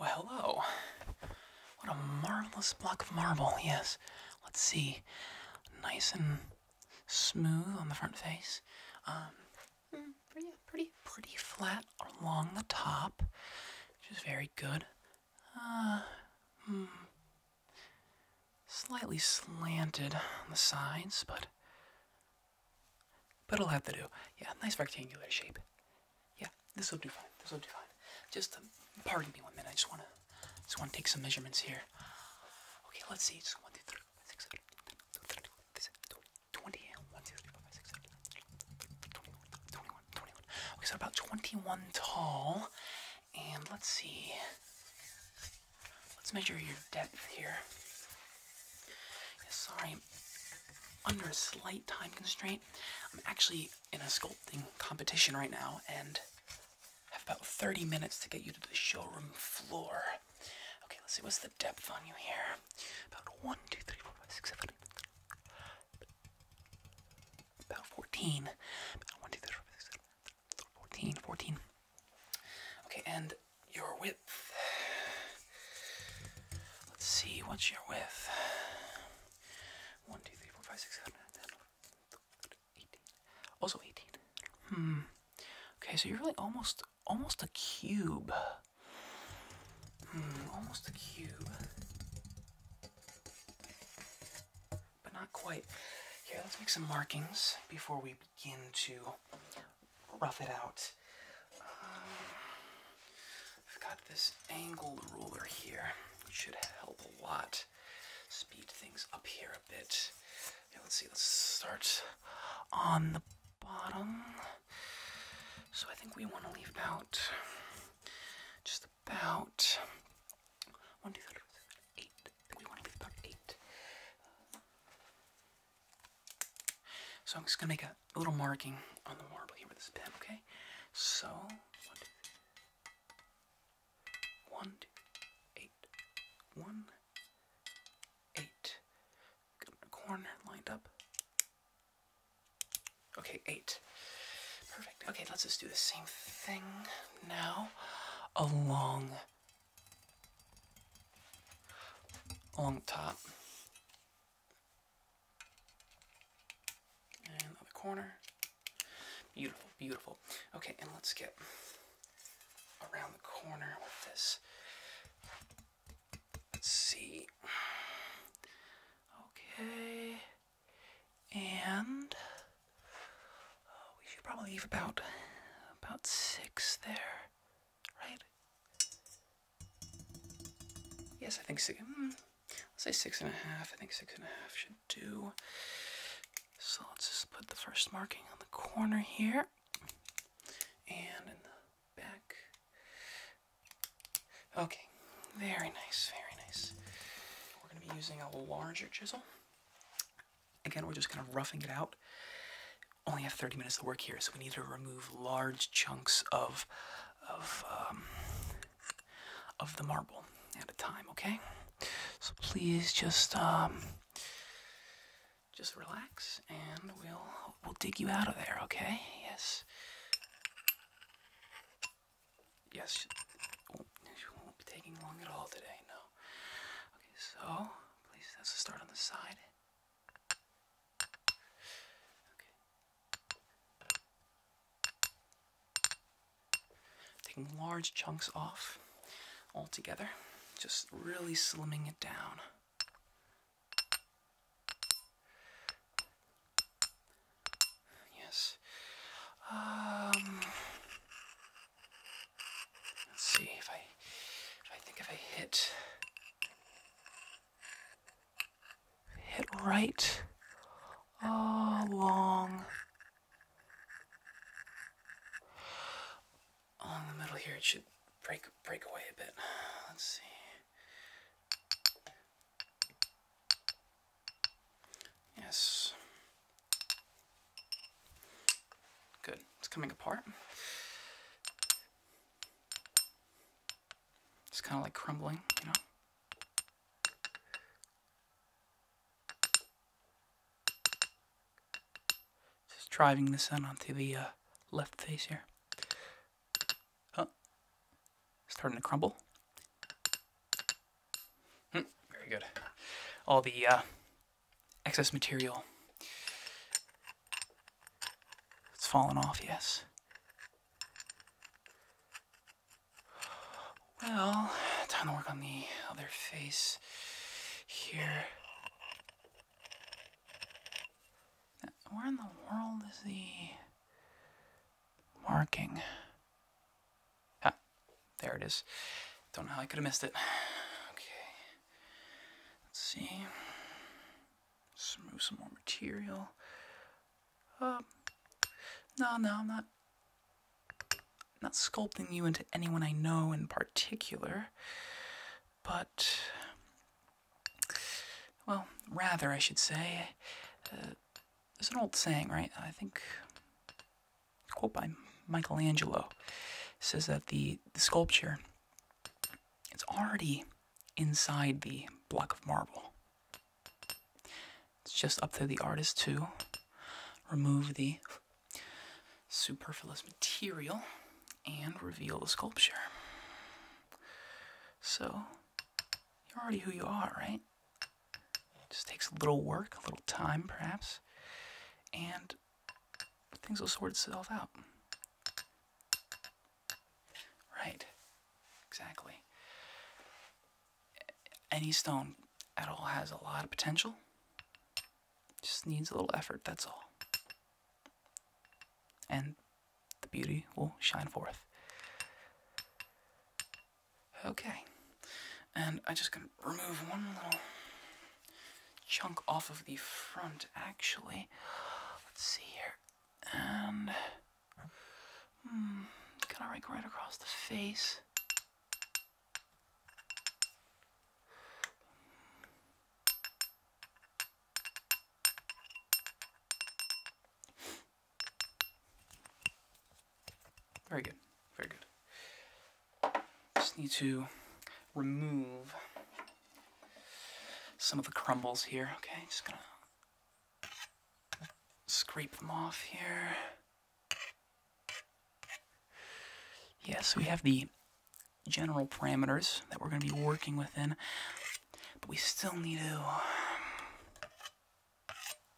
Well, hello. What a marvelous block of marble, yes. Let's see. Nice and smooth on the front face. Um, hmm, pretty, pretty, pretty flat along the top, which is very good. Uh, hmm. Slightly slanted on the sides, but but it'll have to do. Yeah, nice rectangular shape. Yeah, this will do fine. This will do fine. Just um, pardon me one minute. I just wanna just wanna take some measurements here. Okay, let's see. Just one, two, three, four, six, seven, eight, nine, 20, 1, 2, 3, 4, 5, 6, 7, 8, Okay, so about 21 tall. And let's see. Let's measure your depth here. Yeah, sorry, under a slight time constraint. I'm actually in a sculpting competition right now and have about 30 minutes to get you to the showroom floor. Okay, let's see, what's the depth on you here? About 1, About 14. About 14, 14. Okay, and your width. Let's see, what's your width? 1, Also 18. Hmm. Okay, so you're really almost, almost a cube. almost a cube. But not quite. Here, let's make some markings before we begin to rough it out. Um, I've got this angled ruler here. It should help a lot. Speed things up here a bit. let's see, let's start on the bottom. So I think we want to leave about just about one, two, three, four, eight. we want to leave about eight. So I'm just gonna make a little marking on the marble here with this pen, okay? So one, two, three. one, two, eight, one, eight. Got my corn lined up. Okay, eight. Perfect. Okay, let's just do the same thing now along on top and another corner beautiful beautiful okay and let's get around the corner with this let's see okay and uh, we should probably leave about about six there right? Yes, I think six. Hmm, let's say six and a half. I think six and a half should do. So let's just put the first marking on the corner here, and in the back. Okay, very nice, very nice. We're going to be using a larger chisel. Again, we're just kind of roughing it out only have 30 minutes to work here, so we need to remove large chunks of of um, of the marble at a time. Okay, so please just um, just relax, and we'll we'll dig you out of there. Okay? Yes. Yes. She, won't be taking long at all today. No. Okay. So please, let's start on the side. Taking large chunks off altogether, just really slimming it down. Yes. Um, let's see if I if I think if I hit hit right along along the middle here. It should break break away a bit. Let's see. Yes. Good. It's coming apart. It's kind of like crumbling, you know? Just driving this in onto the uh, left face here. Oh, starting to crumble. Mm, very good. All the uh, excess material. It's fallen off, yes. Well, time to work on the other face here. Where in the world is the marking? Ah, there it is. Don't know how I could have missed it. Okay. Let's see. let some more material. Uh, no, no, I'm not. not sculpting you into anyone I know in particular, but well, rather I should say. Uh, there's an old saying, right? I think quote by Michelangelo says that the sculpture it's already inside the block of marble. It's just up to the artist to remove the superfluous material and reveal the sculpture. So, you're already who you are, right? It just takes a little work, a little time perhaps, and things will sort itself out. Right, exactly. Any stone at all has a lot of potential, just needs a little effort, that's all. And the beauty will shine forth. Okay, and i just can remove one little chunk off of the front, actually. Let's see here. And. Hmm, kind of right across the face. Very good, very good. Just need to remove some of the crumbles here. Okay, just gonna scrape them off here. Yes, we have the general parameters that we're going to be working within, but we still need to um,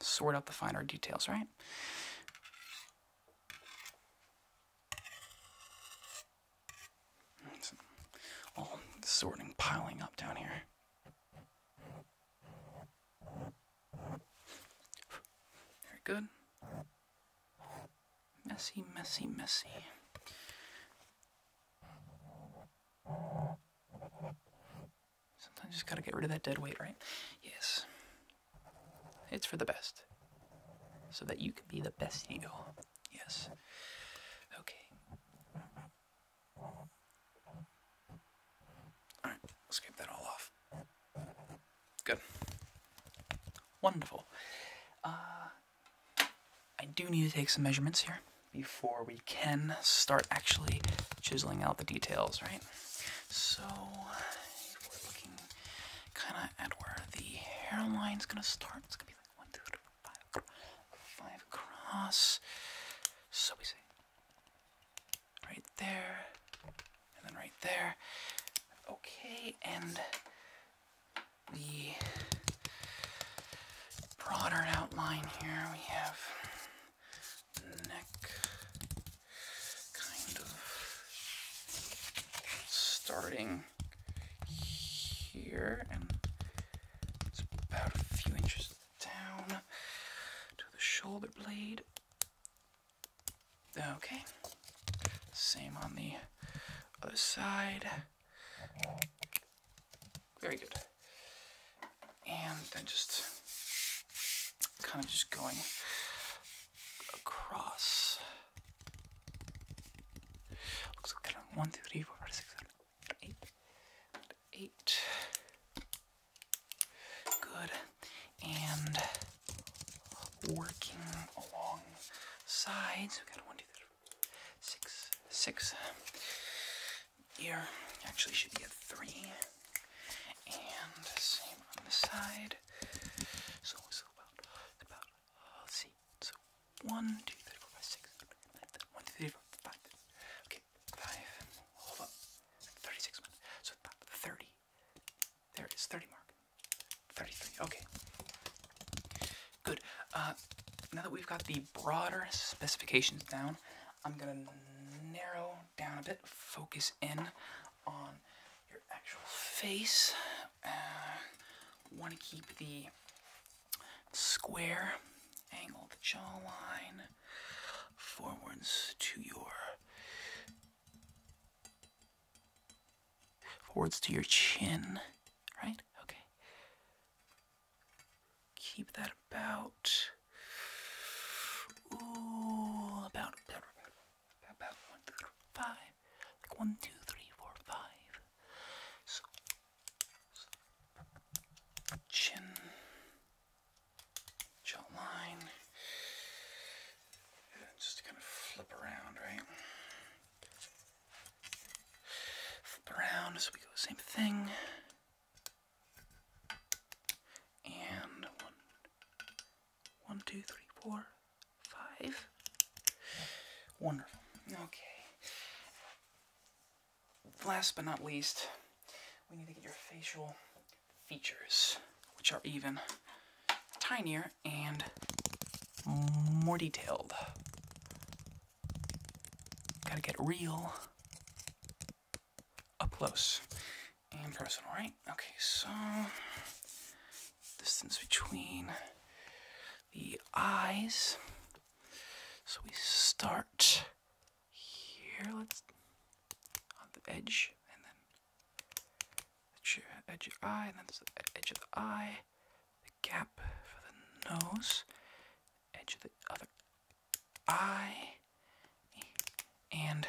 sort out the finer details, right? all sorting, piling up down here. Very good. Messy, messy, messy. Sometimes you've gotta get rid of that dead weight, right? Yes. It's for the best. So that you can be the best you. Yes. Okay. Alright, let's scrape that all off. Good. Wonderful. Uh, I do need to take some measurements here before we can start actually chiseling out the details, right? So, we're looking kind of at where the hairline's going to start. It's going to be across. So we say right there, and then right there. Okay, and the broader outline here we have neck kind of starting here, and it's about a few inches down to the shoulder blade. Okay, same on the other side. Very good. And then just kind of just going across. Looks like I'm 1, Good. And working along sides. So we got 1, Here actually should be a 3. And same on the side. So it's about, about let's see. So one, two, three, four, five, six, nine, ten, one, two, three, four, five. Okay, five. Hold up. Thirty-six minutes. So thirty. There it is. Thirty mark. Thirty-three. Okay. Good. Uh, now that we've got the broader specifications down, I'm gonna narrow down a bit. Focus in on your actual face. Uh, want to keep the square angle the jawline forwards to your forwards to your chin, right? Okay. Keep that about ooh, about about, about one thirty five one, two, three, four, five. chin, jawline. And just kind of flip around, right? Flip around, so we go the same thing. And one, one, two, three, four, five. Wonderful. Okay. Last but not least, we need to get your facial features, which are even tinier and more detailed. Gotta get real up close and personal, right? Okay, so distance between the eyes. So we start here, let's on the edge, and then edge of the eye, and then the edge of the eye, the gap for the nose, edge of the other eye, and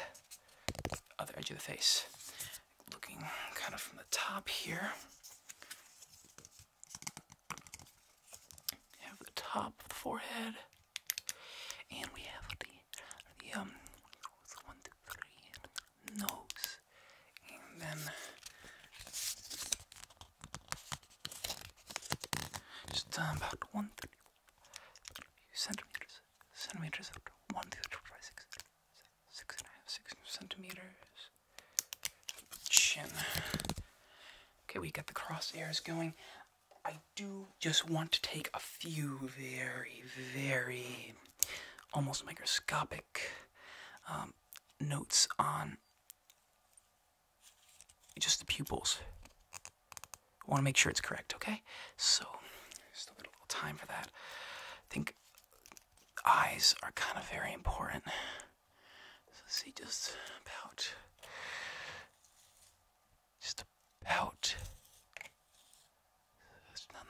the other edge of the face looking kind of from the top here. have the top forehead, and we have the the um nose, and then just uh, about one, three, centimeters, centimeters out, one, two, three, four, five, six, seven, six and a half, six centimeters. Chin. Okay, we got the crosshairs going. I do just want to take a few very, very almost microscopic um, notes on just the pupils. I want to make sure it's correct, okay? So, just a little time for that. think eyes are kind of very important. So see, just about, just about,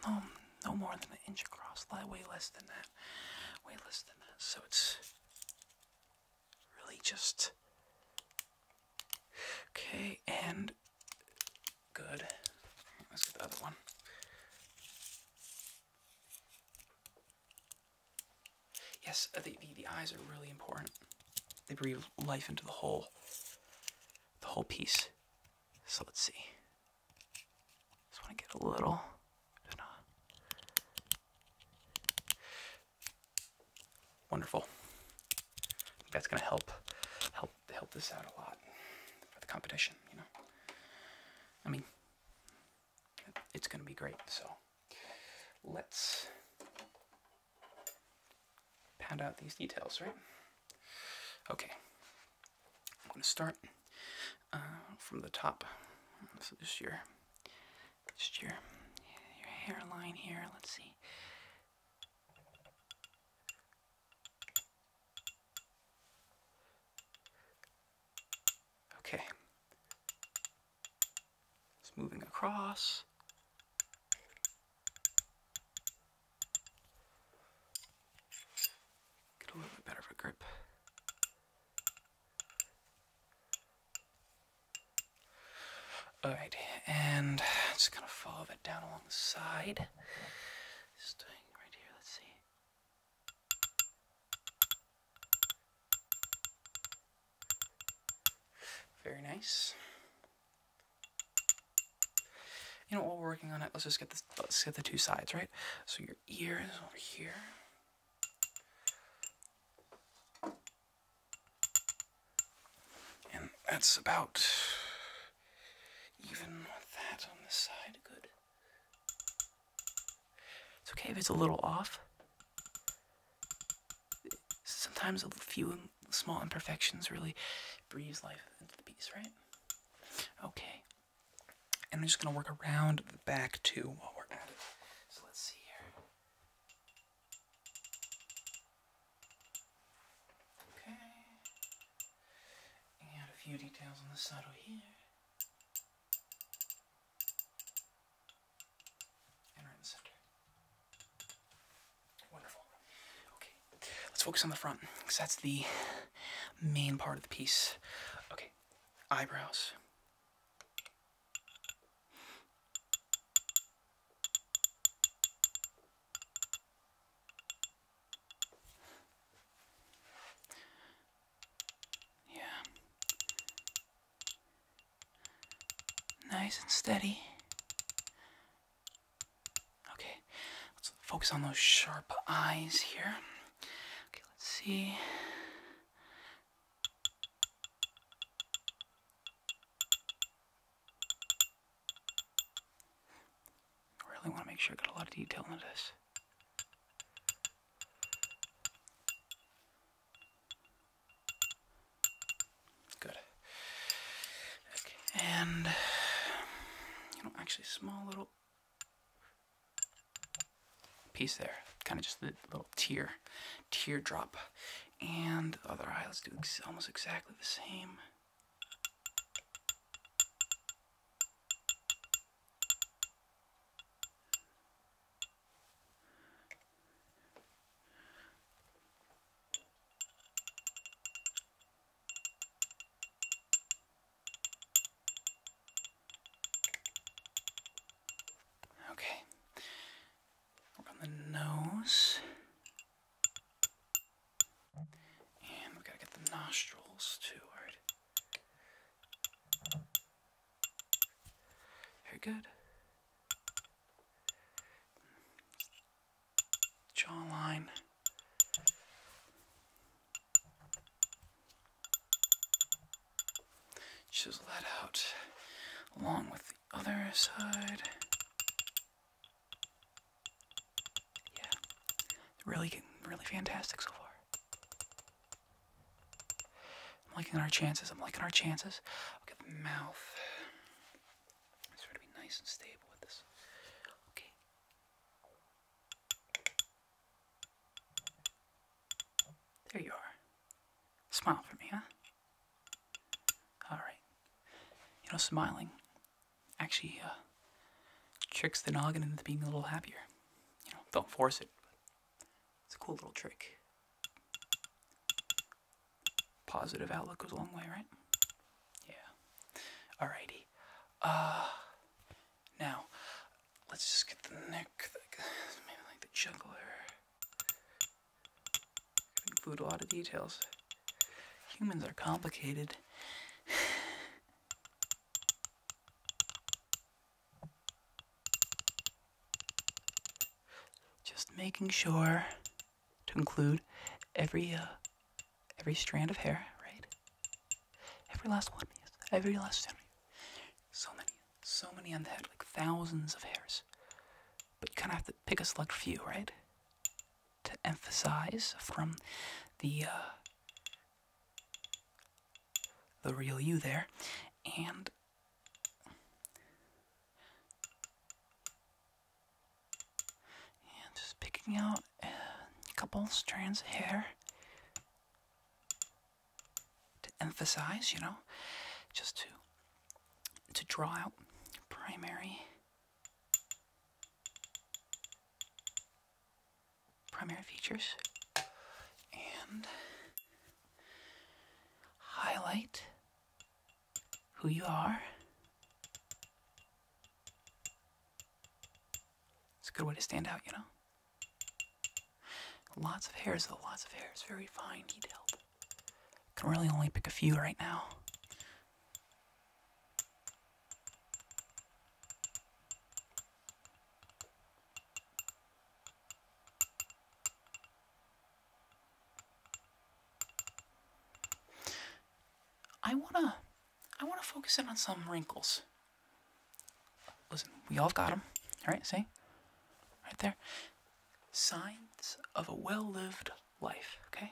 not, no, no more than an inch across, way less than that, way less than that. So it's really just, okay, and good. Let's get the other one. Yes, uh, the, the, eyes are really important. They breathe life into the whole, the whole piece. So let's see. Just want to get a little. Wonderful. That's gonna help, help, help this out a lot for the competition. You know, I mean, it's going to be great. So let's pad out these details, right? Okay. I'm going to start uh, from the top. So just your, just your, your hairline here. Let's see. Okay. It's moving across. Get a little bit better of a grip. Alright, and just kind of follow that down along the side. Just right here, let's see. Very nice. You know, while we're working on it, let's just get this, let's get the two sides, right? So your ear is over here. And that's about even that on this side, good. It's okay if it's a little off. Sometimes a few small imperfections really breathe life into the piece, right? Okay. And I'm just going to work around the back too while we're at it. So let's see here. Okay. And a few details on the saddle here in the center. Wonderful. Okay, let's focus on the front because that's the main part of the piece. Okay, eyebrows. Yeah. Nice and steady. Okay, let's focus on those sharp eyes here. Okay, let's see. I really want to make sure I got a lot of detail into this. Good. and actually, small little piece there, kind of just the little tear, teardrop, and the other eye. Let's do almost exactly the same. Okay. on the nose. And we got to get the nostrils too, alright. Very good. Jawline. Chisel that out along with the other side. Yeah, really getting really fantastic so far. I'm liking our chances. I'm liking our chances. mouth. I'm trying to be nice and stable with this. Okay. There you are. Smile for me, huh? All right. You know, smiling actually uh, tricks the noggin into being a little happier. You know, don't force it. it's a cool little trick. Positive outlook goes a long way, right? Yeah. Alrighty. Uh, now, let's just get the neck, maybe like the juggler. Include a lot of details. Humans are complicated. Just making sure to include every uh, every strand of hair, right? Every last one, yes. Every last strand. So many, so many on the head, like thousands of hairs. But you kind of have to pick a select few, right? To emphasize from the uh, the real you there, and just picking out a couple strands of hair to emphasize, you know, just to to draw out primary primary features, and highlight who you are. It's a good way to stand out, you know? Lots of hairs, though, lots of hairs. Very fine, detailed. Can really only pick a few right now. I wanna, I wanna focus in on some wrinkles. Listen, we all got them, all right? See, right there, signs of a well-lived life. Okay.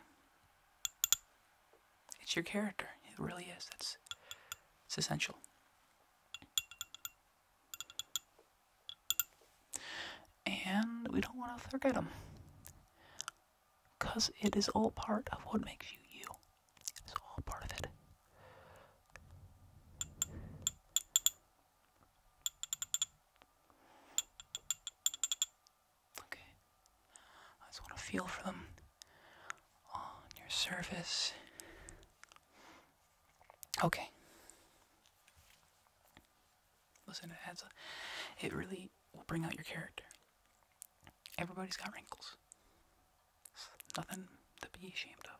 It's your character. It really is. That's it's essential. And we don't want to forget them. Because it is all part of what makes you you. It's all part of it. Okay. I just want to feel for them on your surface. Okay. Listen, it adds it really will bring out your character. Everybody's got wrinkles. nothing to be ashamed of.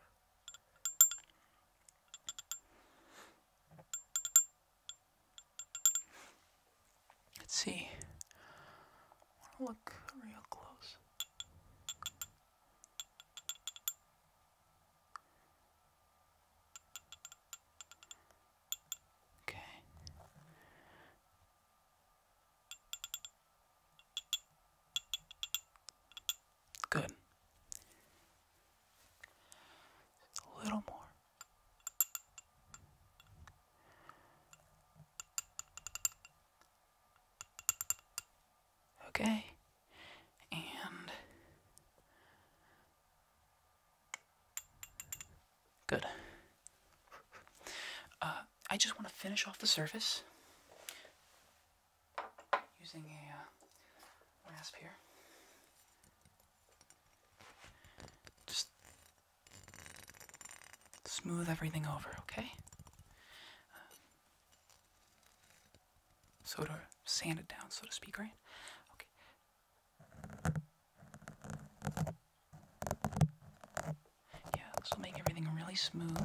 Let's see. I want to look real close. Okay. Good. a little more. Okay. And good. Uh, I just want to finish off the surface using a uh, rasp here. Just smooth everything over, okay? um, so to sand it down, so to speak, right? Okay. Yeah, this will make everything really smooth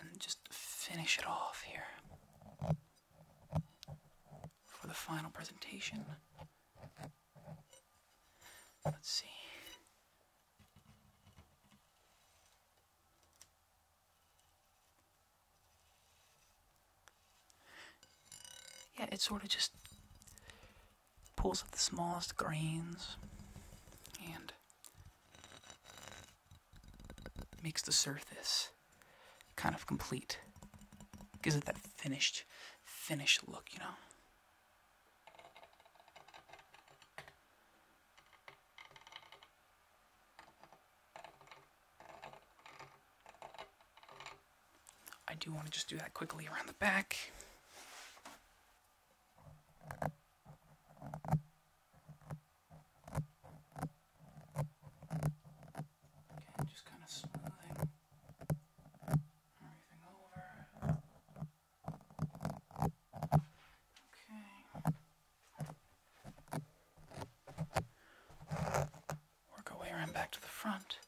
and just finish it off here for the final presentation. Let's see. Yeah, it sort of just pulls up the smallest grains and makes the surface kind of complete. Gives it that finished, finished look, you know? I do want to just do that quickly around the back. Okay, just kind of smoothing everything over. Okay. Work our way around back to the front.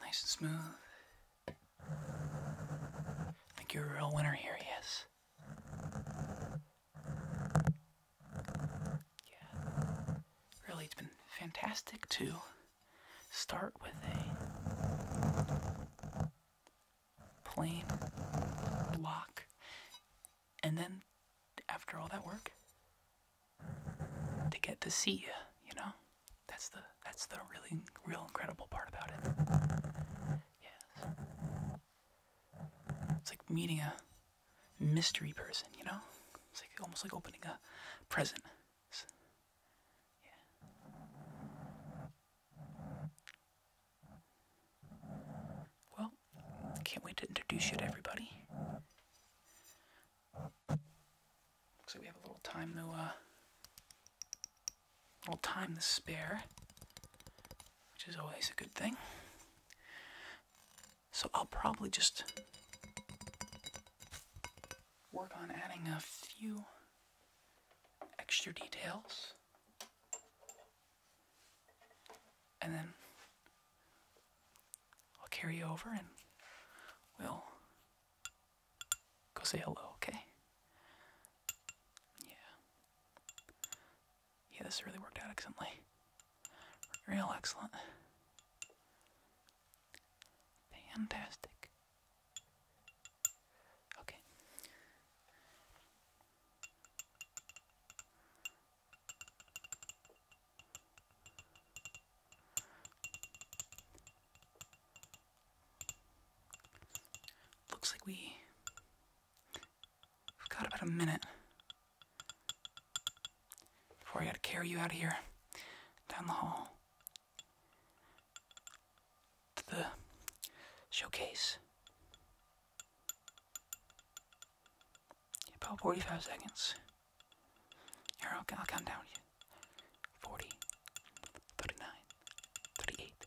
Nice and smooth. I think you're a real winner here, yes. Yeah. Really, it's been fantastic to start with a plain block and then after all that work to get to see you, you know? That's the that's the really real incredible part about it. Yes. It's like meeting a mystery person, you know? It's like almost like opening a present. yeah. Well, can't wait to introduce you to everybody. Looks like we have a little time to uh, little time to spare, which is always a good thing. So I'll probably just work on adding a few extra details. And then I'll carry you over and we'll go say hello, okay? Yeah. Yeah, this really worked out excellently. Real excellent. Fantastic. Okay. Looks like we. have got about a minute before I gotta carry you out of here, down the hall, to the showcase. About 45 seconds. Here, I'll, I'll count down. 40, 39, 38,